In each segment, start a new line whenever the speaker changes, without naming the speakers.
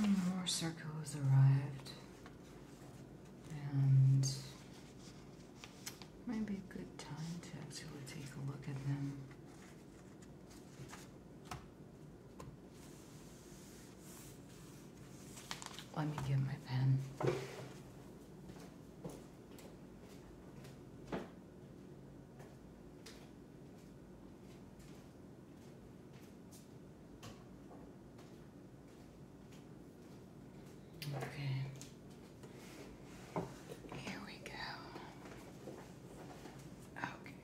More circles arrived, and might be a good time to actually take a look at them. Let me get my pen. Okay. Here we go. Okay.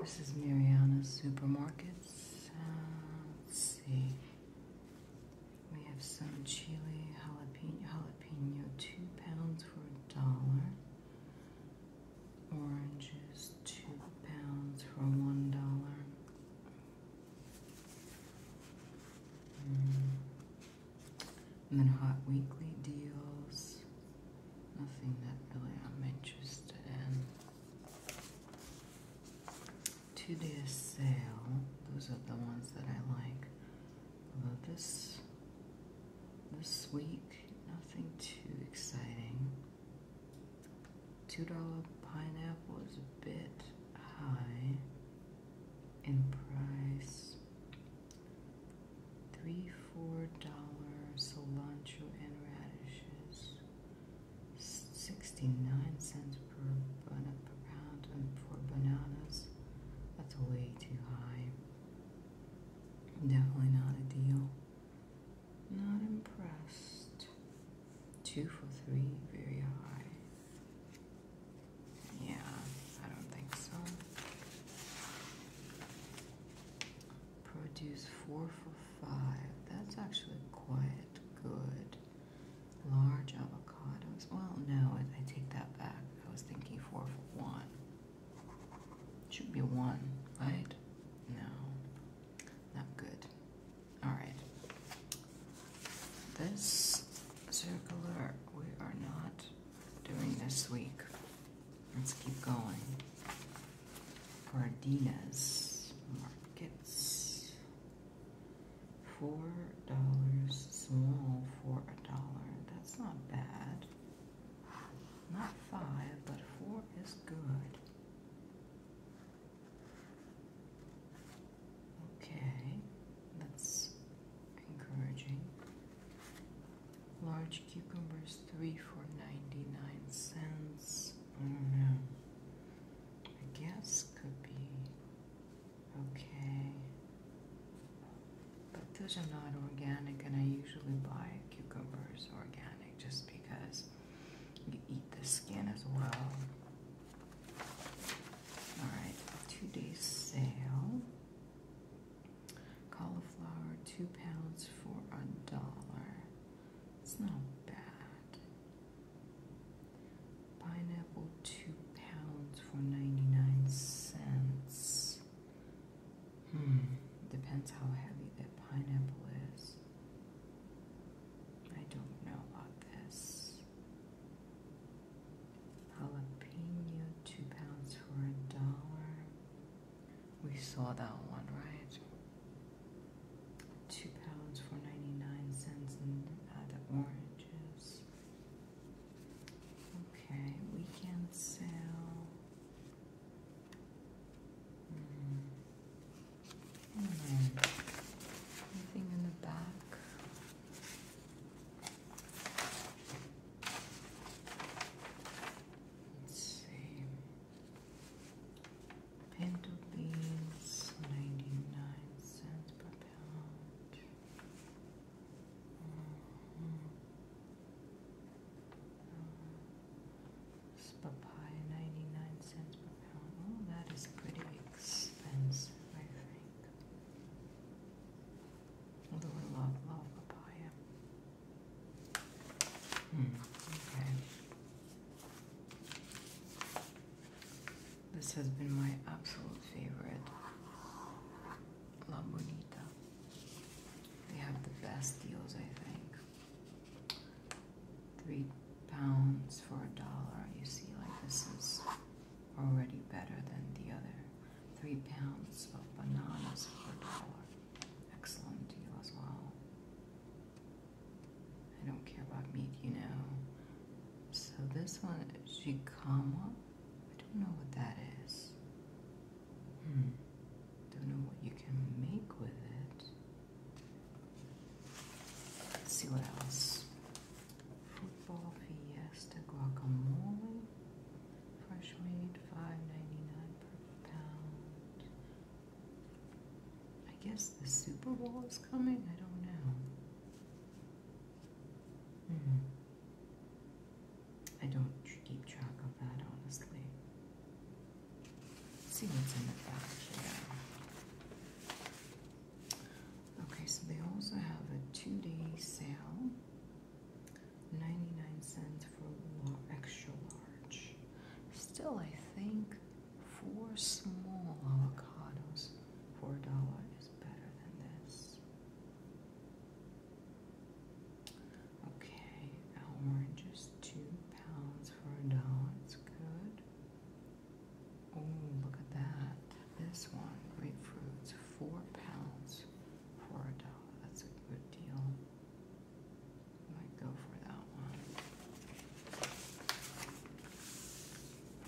This is Mariana's supermarket. Uh, let's see. We have some chili jalapeno, jalapeno two pounds for a dollar. Oranges two pounds for one dollar. Mm. And then Hot Weekly Deals. Nothing that really I'm interested in. Two day sale. Those are the ones that I like. Although this this week, nothing too exciting. Two dollar pineapple is a bit high in price. Three, four dollars, cilantro and radishes. Sixty-nine cents per, per pound and for bananas. That's way too high. Definitely not a deal. Not impressed. Two for three, very high. Yeah, I don't think so. Produce four for five. That's actually quite good. Large avocados. Well, no, I, take that back. I was thinking four for one. Should be one, right? No, not good. All right this circular we are not doing this week. Let's keep going. Cardenas markets. Four dollars small for a dollar. That's not bad. Not five, but four is good. Okay, that's encouraging. Large cucumbers, three for 99 cents. I mm-hmm. I guess could be okay. But those are not organic, and I usually buy cucumbers organic just because you eat the skin as well. All right, days sale. Cauliflower, two pounds for a dollar. It's not bad. Pineapple, two pounds for ninety-nine cents. Hmm, depends how heavy that pineapple is. I don't know about this. Jalapeno, two pounds for a dollar. We saw that one, right? Two pounds for 99 cents and uh, the oranges. Okay, we can sell. Mm. Anything in the back? Let's see. Pinto beans, 99 cents per pound. Uh-huh. papaya, 99 cents per pound. Oh, that is pretty expensive, I think. Although I love, love papaya. Mm, okay. This has been my absolute favorite. La Bonita. They have the best deals, I think. Three pounds for a dollar. You see, like this is already better than the other. Three pounds of bananas for a dollar. Excellent deal as well. I don't care about meat, you know. So this one, shikama. I don't know what that is. Hmm. Don't know what you can make with it. Let's see what else. Football Fiesta guacamole, fresh made, five ninety nine per pound. I guess the Super Bowl is coming. I don't know. Hmm. I don't keep track of that honestly. see what's in the back Okay, so they also have a two-day sale, 99 cents for extra large. Still, I think four small avocados for a dollar is better than this. Okay, oranges, two pounds for a dollar. It's good. Oh, look at that. This one, grapefruits, four pounds for a dollar. That's a good deal. Might go for that one.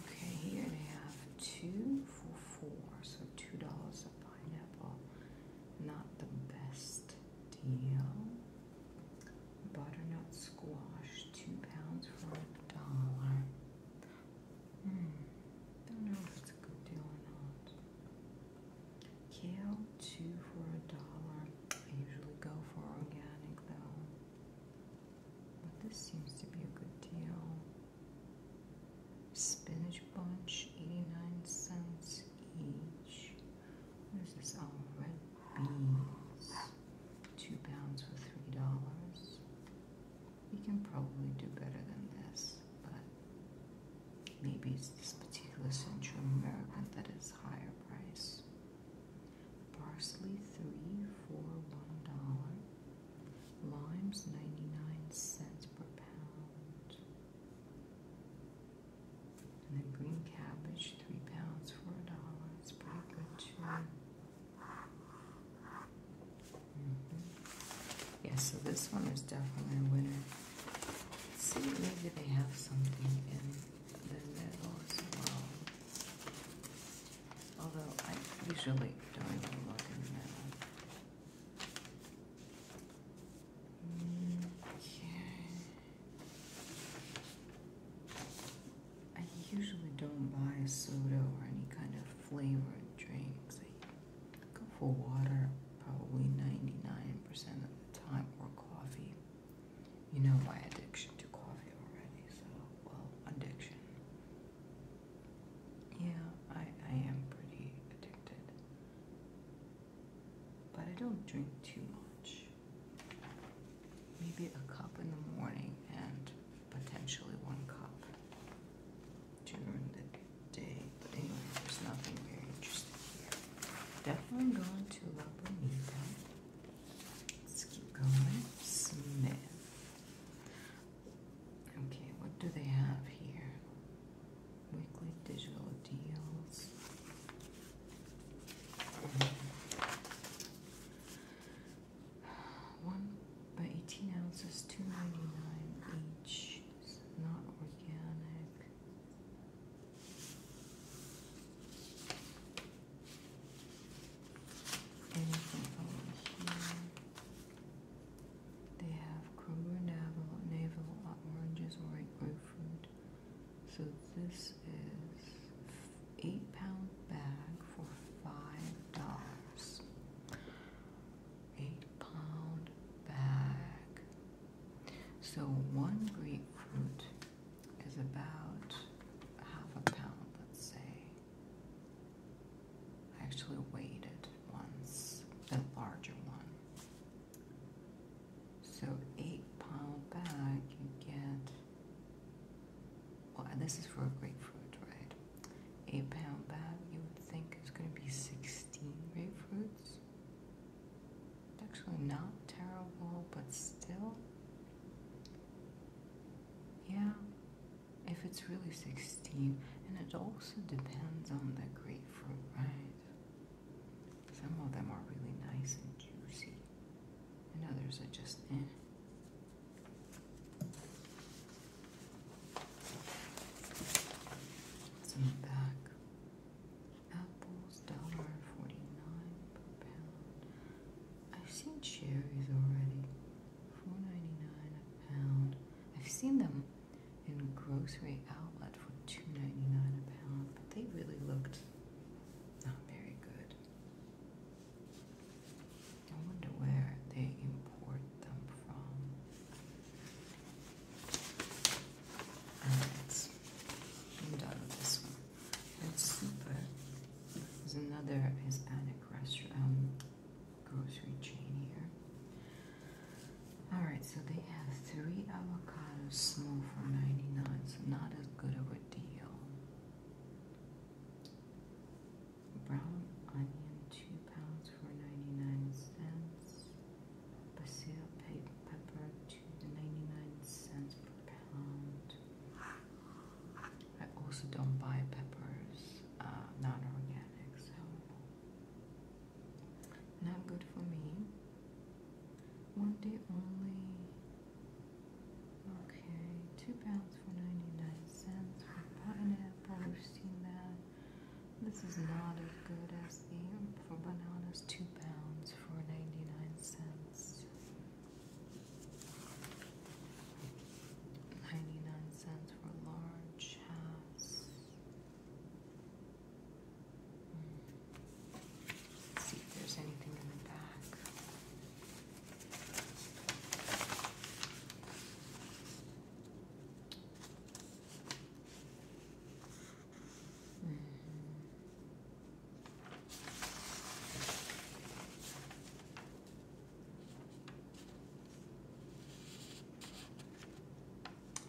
Okay, here they have two for four, so two dollars a pineapple. Not the best deal butternut squash, two pounds for a dollar. Hmm, don't know if it's a good deal or not. Kale, two for a dollar. I usually go for organic though. But this seems to be a good deal. Spinach bunch, 89 cents each. What is this? Oh, red beans. Two pounds for three dollars. We can probably do better than this, but maybe it's this particular Central American that is higher price. Parsley three for one dollar. Limes ninety-nine cents per pound. And then green cabbage, three pounds for a dollar. It's pretty good too. Mm-hmm. Yes, so this one is definitely a winner. Let's see, maybe they have something in the middle as well. Although I usually don't even look in the middle. Mm, okay. I usually don't buy soda or any kind of flavored drinks. I go for water probably 99% of the time or coffee. You know my addiction to coffee already, so, well, addiction. Yeah, I, I am pretty addicted. But I don't drink too much. Maybe a cup in the morning and potentially one cup during the day. But anyway, there's nothing very interesting here. Definitely going to La Bonita. Let's keep going. Smith. Okay, what do they have here? Weekly digital deals. One by 18 ounces, two ninety nine each. not organic. Anything over here? They have Kruger navel, navel oranges, white grapefruit, so this is eight pound bag for five dollars. Eight pound bag. So one grapefruit is about half a pound, let's say. I actually weighed it once, the larger one. So eight pound bag you get well, this is for a grapefruit, right? A pound bag, you would think is going to be 16 grapefruits. actually not terrible, but still. Yeah, if it's really 16, and it also depends on the grapefruit, right? Some of them are really nice and juicy and others are just in. Some back. Apples, dollar forty-nine per pound. I've seen cherries already. Four ninety-nine a pound. I've seen them in grocery outlet for two ninety-nine a pound, but they really looked not very good. I wonder where they import them from. Alright, I'm done with this one. It's super. There's another Hispanic restaurant um, grocery chain here. Alright, so they have three avocados small for 99, so not as good of a deal. Brown onion, two pounds for ninety-nine cents. Basil pepper, two to ninety-nine cents per pound. I also don't buy peppers, uh, not organic, so not good for me. One day only Okay, two pounds for 99 cents for pineapple. we that. This is not as good as the for bananas, two pounds for 99 cents. 99 cents for large halves see if there's anything in the back. -hmm.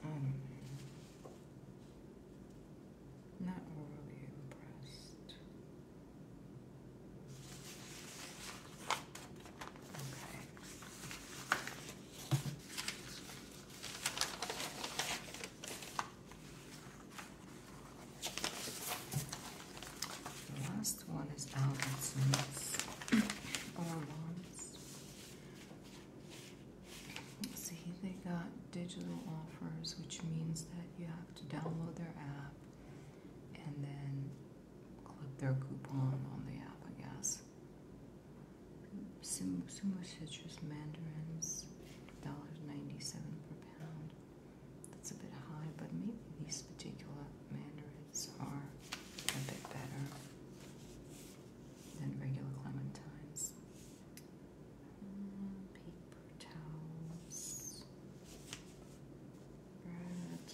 I not really impressed. Okay. The last one is Albertsons or Wands. See, they got digital offers, which means that you have to download their app and then click their coupon on the app, I guess. Sumo, citrus mandarins, $1.97 per pound. That's a bit high, but maybe these particular mandarins are a bit better than regular clementines paper towels. Right.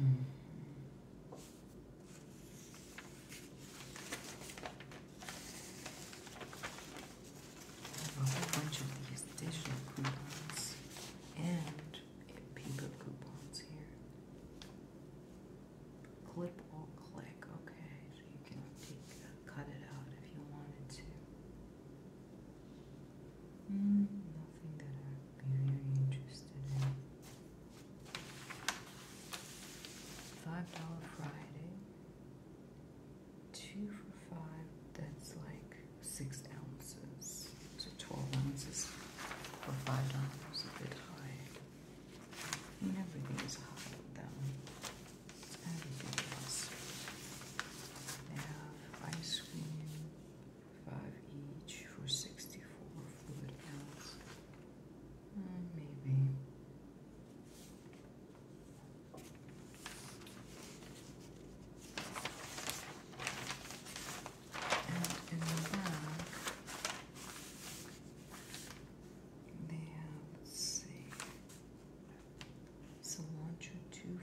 Mm. I have a whole bunch of these digital coupons and paper coupons here clip or click. Okay, so you can uh, cut it out if you wanted to. Hmm, nothing that I'd be very interested in. Five dollar Friday. Two for five. That's like six ounces. So twelve ounces for five dollars. A bit high. I everything is hot though. Everything is. They have ice cream, five each for sixty-four fluid ounce. Mm, maybe. And in they have, let's see, cilantro 241.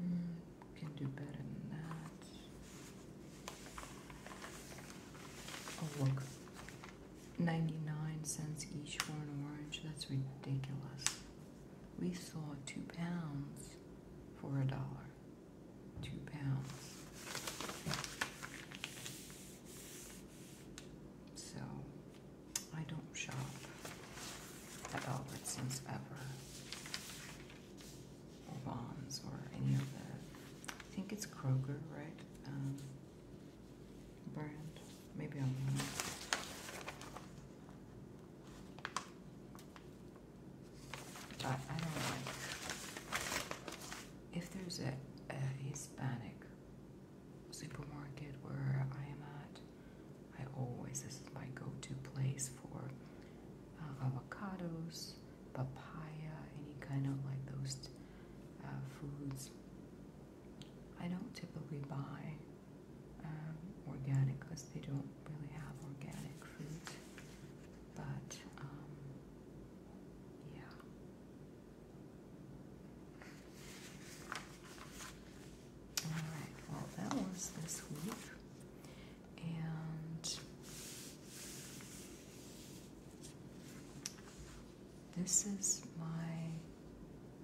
Mm, can do better than that. Oh, look. 99 cents each for an orange. That's ridiculous. We saw two pounds for a dollar two pounds. So I don't shop at Albert since ever, or Bonds, or any of the. I think it's Kroger, right? Um, brand. Maybe I'm wrong. But I don't like if there's a, Hispanic supermarket where I am at. I always this is my go-to place for uh, avocados, papaya, any kind of like those uh, foods. I don't typically buy um, organic because they don't really have organic fruit. But um, yeah. All right. Well, that was this week, and this is my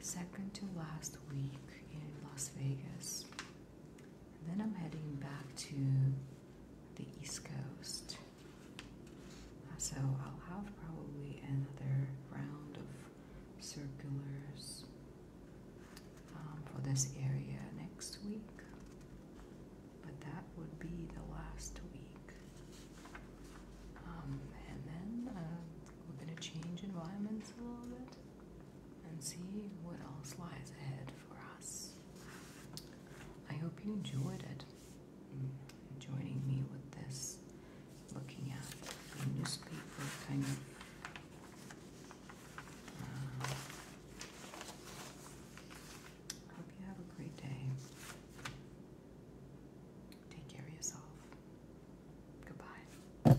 second to last week in Las Vegas. And then I'm heading back to the East Coast. So I'll have probably another round of circulars um, for this area next week. But that would be the last week. Um, and then uh, we're going to change environments a little bit and see what else lies ahead for us. I hope you enjoyed it. Mm, joining me with this, looking at the newspaper kind of uh, hope you have a great day. Take care of yourself. Goodbye.